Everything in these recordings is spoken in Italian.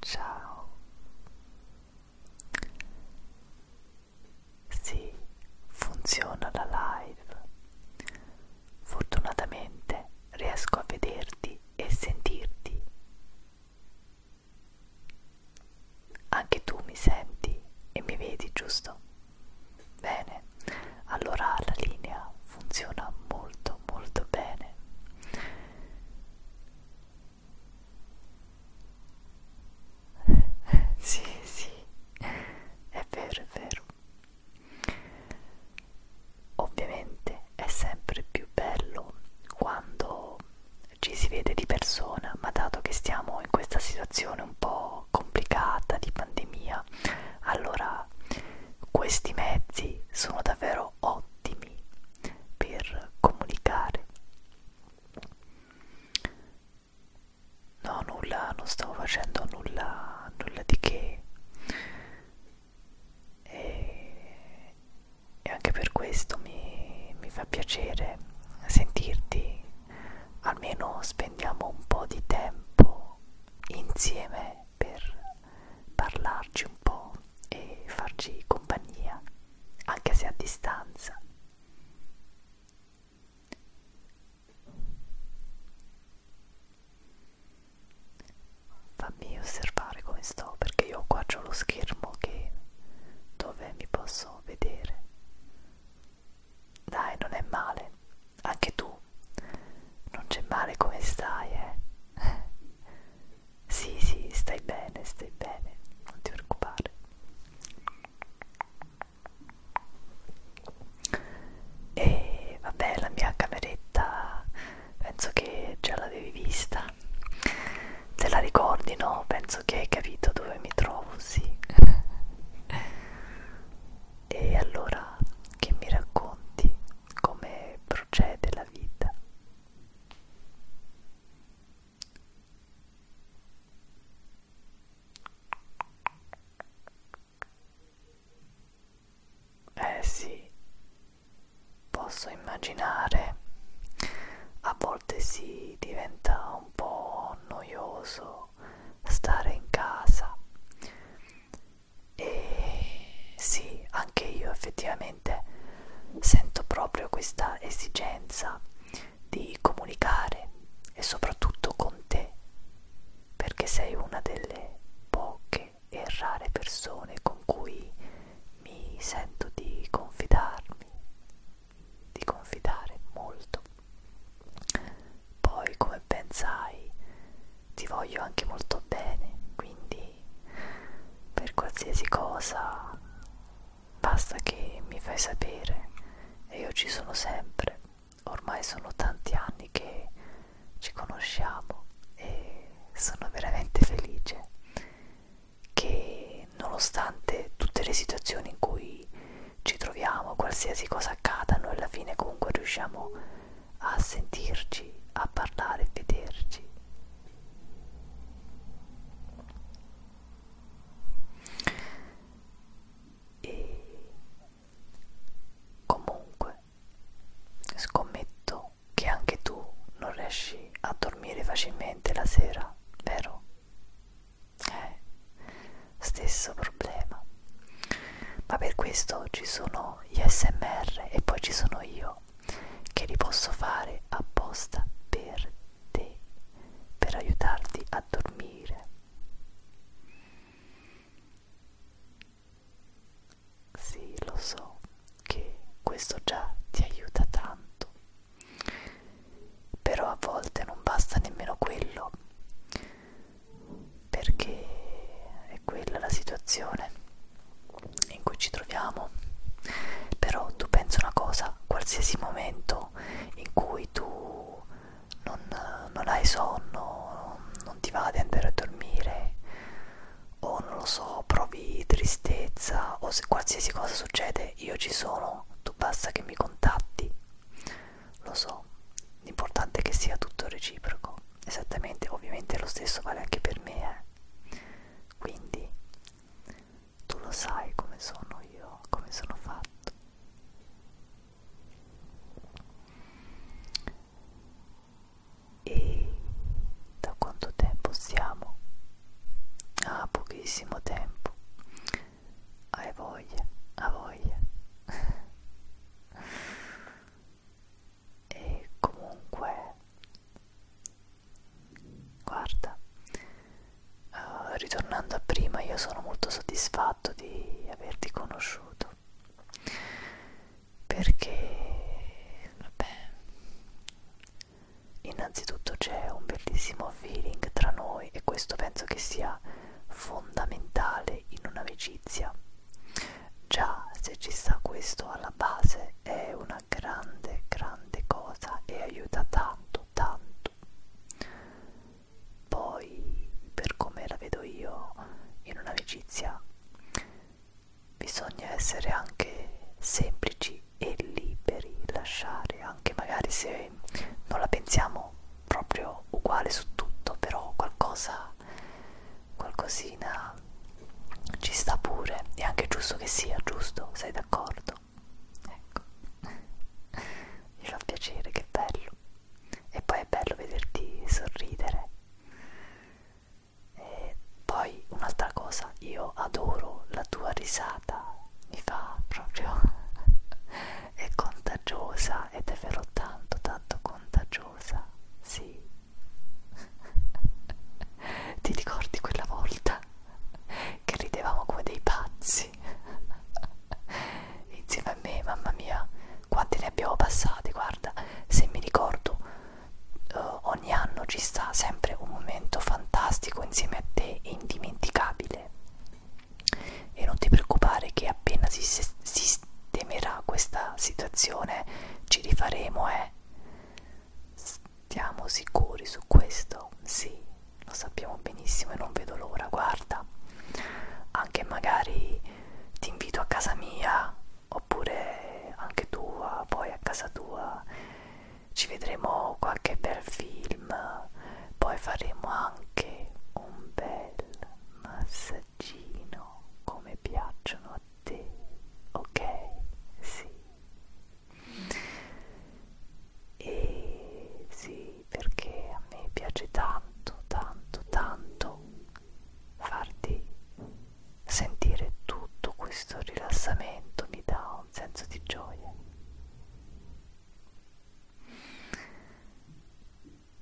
Ciao. Sì, funziona la live. Fortunatamente riesco a vederti e sentirti. Anche tu mi senti e mi vedi, giusto? Bene, allora la linea funziona molto molto bene. sì, sì, è vero, è vero. Ovviamente è sempre più bello quando ci si vede di persona, ma dato che stiamo in questa situazione un po' po' complicata di pandemia allora questi mezzi sono davvero ottimi per comunicare no nulla non stavo facendo nulla nulla di che e, e anche per questo mi, mi fa piacerere sentirti almeno spendiamo un po' di tempo insieme per parlarci un po' e farci compagnia, anche se a distanza. Fammi osservare come sto perché io qua ho lo schermo che dove mi posso vedere dai, non è male. Anche tu. Non c'è male come stai, eh? sì, sì, stai bene, stai bene. Non ti preoccupare. E vabbè, la mia cameretta penso che già l'avevi vista. Te la ricordi, no? Penso penso che hai capito dove mi trovo, sì. e allora che mi racconti come procede la vita? Eh sì, posso immaginare. A volte volte si diventa un po' noioso stare in casa e sì, anche io effettivamente sento proprio questa esigenza di comunicare e soprattutto con te perché sei una delle poche e rare persone con cui mi sento di confidarmi di confidare molto. Poi, come ben sai, ti voglio anche molto bene, quindi per qualsiasi cosa basta che mi fai sapere e io ci sono sempre. Ormai sono tanti anni che ci conosciamo e sono veramente felice che che nonostante tutte le situazioni in cui ci troviamo, qualsiasi cosa accada, noi alla fine comunque riusciamo a sentirci, a parlare, a vederci. E comunque scommetto che anche tu non riesci a dormire facilmente la sera, vero? Eh, stesso problema. Ma per questo ci sono gli SMR e poi ci sono io che li posso fare apposta per te, per aiutarti a dormire. Sì, lo so che questo già ti aiuta tanto. Però a volte non basta nemmeno quello, perché è quella la situazione in cui ci troviamo. Però tu pensi una cosa, qualsiasi momento in cui tu non, non hai sonno, non ti va di andare a dormire, o non lo so, provi tristezza, o se qualsiasi cosa succede, io ci sono, tu basta che mi contatti lo so, l'importante è che sia tutto reciproco. Esattamente, ovviamente lo stesso vale anche per me, eh. Quindi, tu lo sai come sono io, come sono fatto. E da quanto tempo siamo? Ah, pochissimo tempo hai voglia, ha voglia e comunque guarda uh, ritornando a prima io sono molto soddisfatto di averti conosciuto perché vabbè innanzitutto c'è un bellissimo po' feeling tra noi e questo penso che sia fondamentale in un'amicizia. Già, se ci sta questo alla base è una grande, grande cosa e aiuta tanto, tanto. Poi, per come la vedo io, in un'amicizia bisogna essere anche semplici e liberi, lasciare anche magari se non la pensiamo proprio uguale su tutto, però qualcosa, qualcosina ci sta pure, è anche giusto che sia, giusto? Sei d'accordo? Ecco, mi fa piacere, che bello. E poi è bello vederti sorridere. E poi un'altra cosa, io adoro la tua risata mi fa proprio è contagiosa ed è vero tanto tanto contagiosa sì ti ricordi quella volta che ridevamo come dei pazzi insieme a me mamma mia quanti ne abbiamo passati guarda se mi ricordo uh, ogni anno ci sta sempre un momento fantastico insieme a te e indimenticabile e non ti preoccupare che appena si sistemerà questa situazione ci rifaremo eh stiamo sicuri su questo sì lo sappiamo benissimo e non vedo l'ora guarda anche magari ti invito a casa mia oppure anche tua poi a casa tua ci vedremo qualche bel film poi faremo anche un bel massaggino come piacciono a te ok sì e sì perché a me piace tanto tanto tanto farti sentire tutto questo rilassamento mi dà un senso di gioia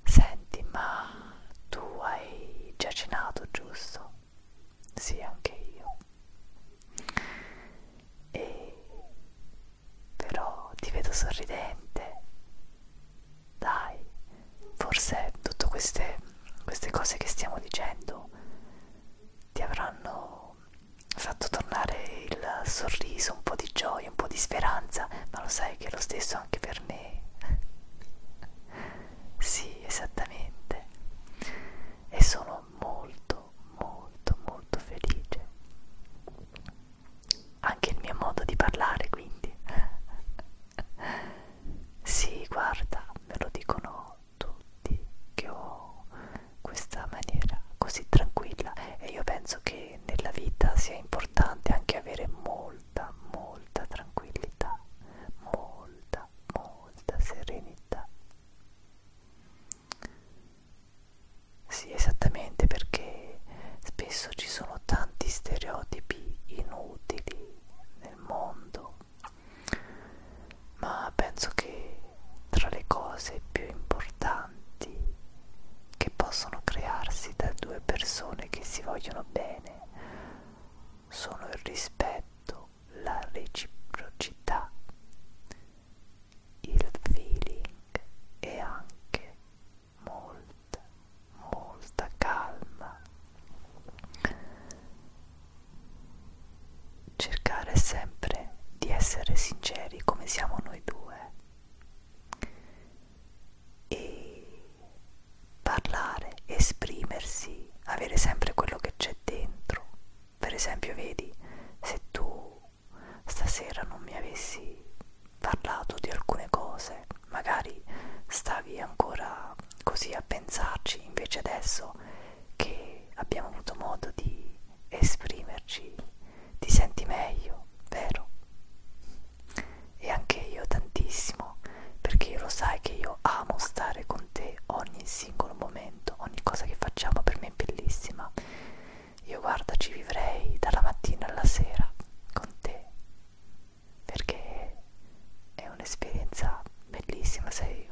Senti, ma tu hai già cenato, giusto? Sì, anche io. E però ti vedo sorridente. Dai, forse tutte queste, queste cose che stiamo dicendo ti avranno fatto tornare il sorriso, un po' di gioia, un po' di speranza, ma lo sai che è lo stesso anche per me. sì, esattamente. E sono molto, molto, molto felice. Anche il mio modo di parlare, quindi. sì, guarda, me lo dicono tutti che ho questa maniera così tranquilla e io penso che nella vita sia importante anche avere molta molta tranquillità molta molta serenità sì esattamente perché spesso ci sono tanti stereotipi inutili nel mondo ma penso che tra le cose più importanti che possono crearsi da due persone che si vogliono bene sono il rispetto, la reciprocità, il feeling e anche molta, molta calma. Cercare sempre di essere sinceri come siamo noi due due e parlare, esprimersi, avere sempre quello che c'è dentro. Per esempio, vedi, se tu stasera non mi avessi parlato di alcune cose, magari stavi ancora così a pensarci, invece adesso che abbiamo avuto modo di esprimerci ti senti meglio, vero? E anche io tantissimo, perché lo sai che io amo stare con te ogni singolo momento, ogni cosa che facciamo per me è bellissima. Io guarda ci vivrei dalla mattina alla sera con te, perché è un'esperienza bellissima, sei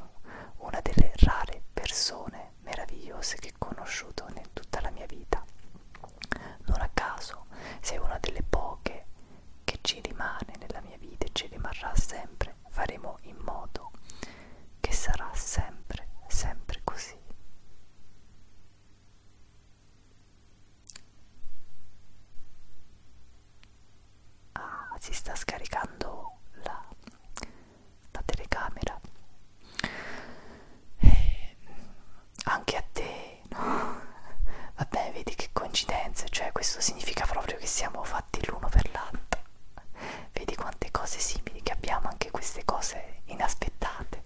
una delle rare persone meravigliose che ho conosciuto in tutta la mia vita. Non a caso sei una delle poche che ci rimane nella mia vita e ci rimarrà sempre. Faremo in modo che sarà sempre, sempre così. Ah, si sta scaricando la la telecamera eh, anche a te no? vabbè vedi che coincidenze cioè questo significa proprio che siamo fatti l'uno per l'altro vedi quante cose simili che abbiamo anche queste cose inaspettate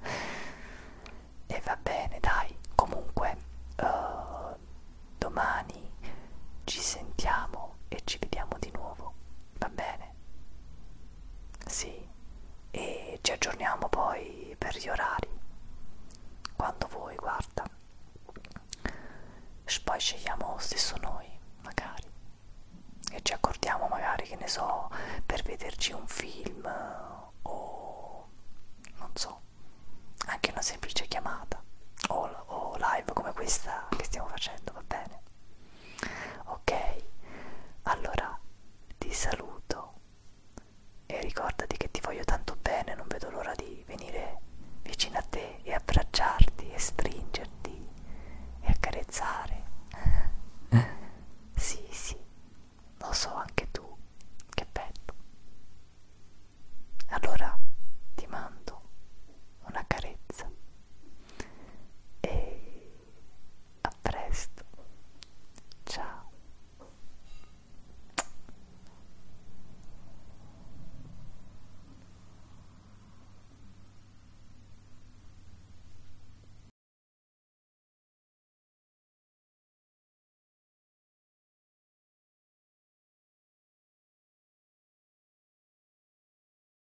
e va bene dai comunque uh, domani ci sentiamo e ci vediamo di nuovo va bene bene. Sì, e ci aggiorniamo poi per gli orari. Quando vuoi, guarda. Poi scegliamo lo stesso noi, magari. E ci accordiamo magari, che ne so, per vederci un film o non so, anche una semplice chiamata o, o live come questa che stiamo facendo, va bene? ok allora ti saluto e ricordati che ti voglio tanto bene non vedo l'ora di venire vicino a te e abbracciarti e stringerti e accarezzare eh? Eh? sì sì lo so anche tu che bello allora ti mando una carezza e a presto ciao